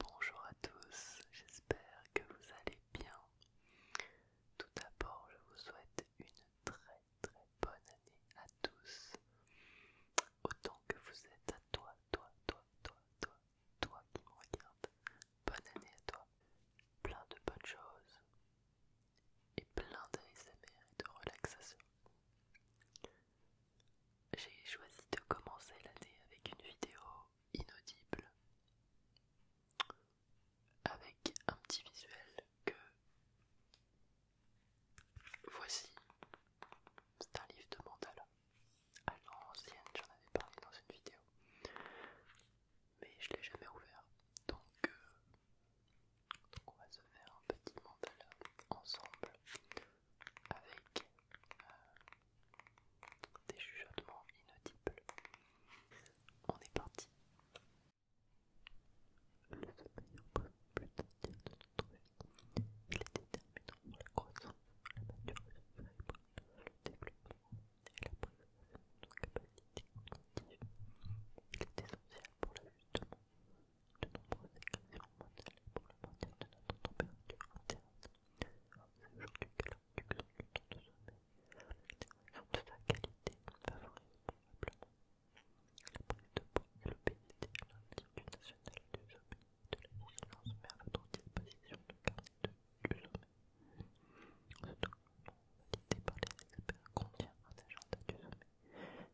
Bonjour à tous, j'espère que vous allez bien. Tout d'abord, je vous souhaite une très très bonne année à tous. Autant que vous êtes à toi, toi, toi, toi, toi, toi qui me regarde. Bonne année à toi. Plein de bonnes choses et plein d'ASMR et de relaxation j'ai choisi de commencer l'année avec une vidéo inaudible, avec un petit visuel que voici. C'est un livre de mandala. À l'ancienne, j'en avais parlé dans une vidéo, mais je l'ai jamais ouvert. Donc, euh, on va se faire un petit mandala ensemble avec euh, des chuchotements inaudibles. On est parti. Le sommeil emprunte plus d'un tiers de notre vie. Il est déterminant pour la croissance, la maturation le développement et la préservation de nos capacités cognitives. Il est essentiel pour l'ajustement de nombreuses écrétions mondiales pour le modèle de notre température interne. C'est aujourd'hui que l'induction du temps de sommeil, l'intégration de sa qualité, favorise probablement la prise de poids et l'obésité. L'Institut national du sommeil de la vigilance met à votre disposition de carnet de du sommeil. Ce document, validé par les experts, contient un agenda du sommeil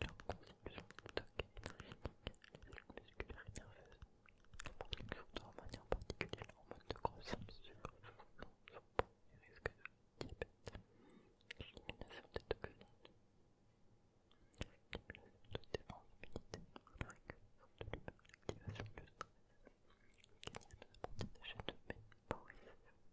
Leur constitution toque énergétique, les musculaire musculaires et nerveuses, la production d'hormones en particulier l'hormone de croissance, sucre, fond, son bon et risque de diabète, l'élimination des toxines, l'élimination de défense immunité, la de l'humeur, l'activation du stress, mécanisme de protéine de chaîne de mémoire,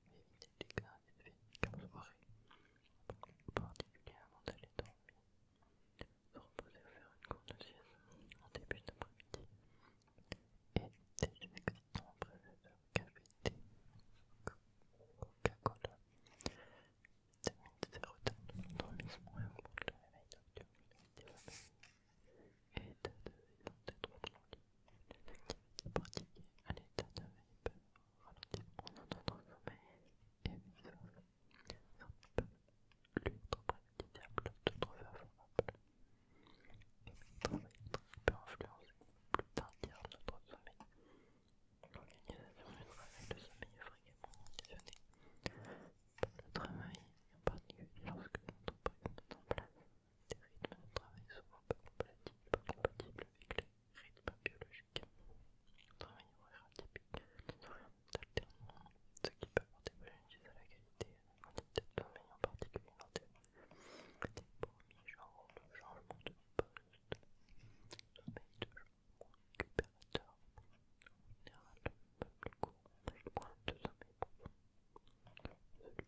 éviter les gars et de qu'en soirée, particulièrement d'aller dormir, se reposer ou faire une courte sieste en début d'après-midi, et des jeux excitants prévus de café, thé, coca-cola, vitamines sérotonine, dormissement et augmente le réveil nocturne des familles, et de devenir des droits de l'envie, des activités pratiquées à l'état de veille on a notre sommeil et nous versa Ça peut lui être trouver d'autres favorables. Et travail peut influencer plus tard notre sommeil. L'organisation du travail de sommeil est fréquemment conditionnée par le travail, en particulier lorsque notre prise est en place des rythmes de travail souvent pas compatibles, avec les rythmes biologiques. Travail horaire atypique, des horaires d'alternement, ce qui peut porter préjudice à la qualité et à la quantité de en particulier en des premiers genres de changement de poste, sommeil de jour récupérateur, en général peu plus court, avec moins de sommeil profond. Celui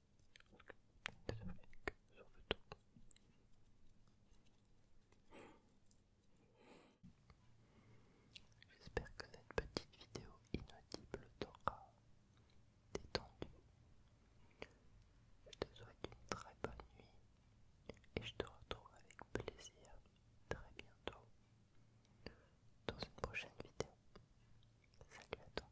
J'espère que cette petite vidéo inaudible t'aura détendu. Je te souhaite une très bonne nuit et je te retrouve avec plaisir très bientôt dans une prochaine vidéo. Salut à toi.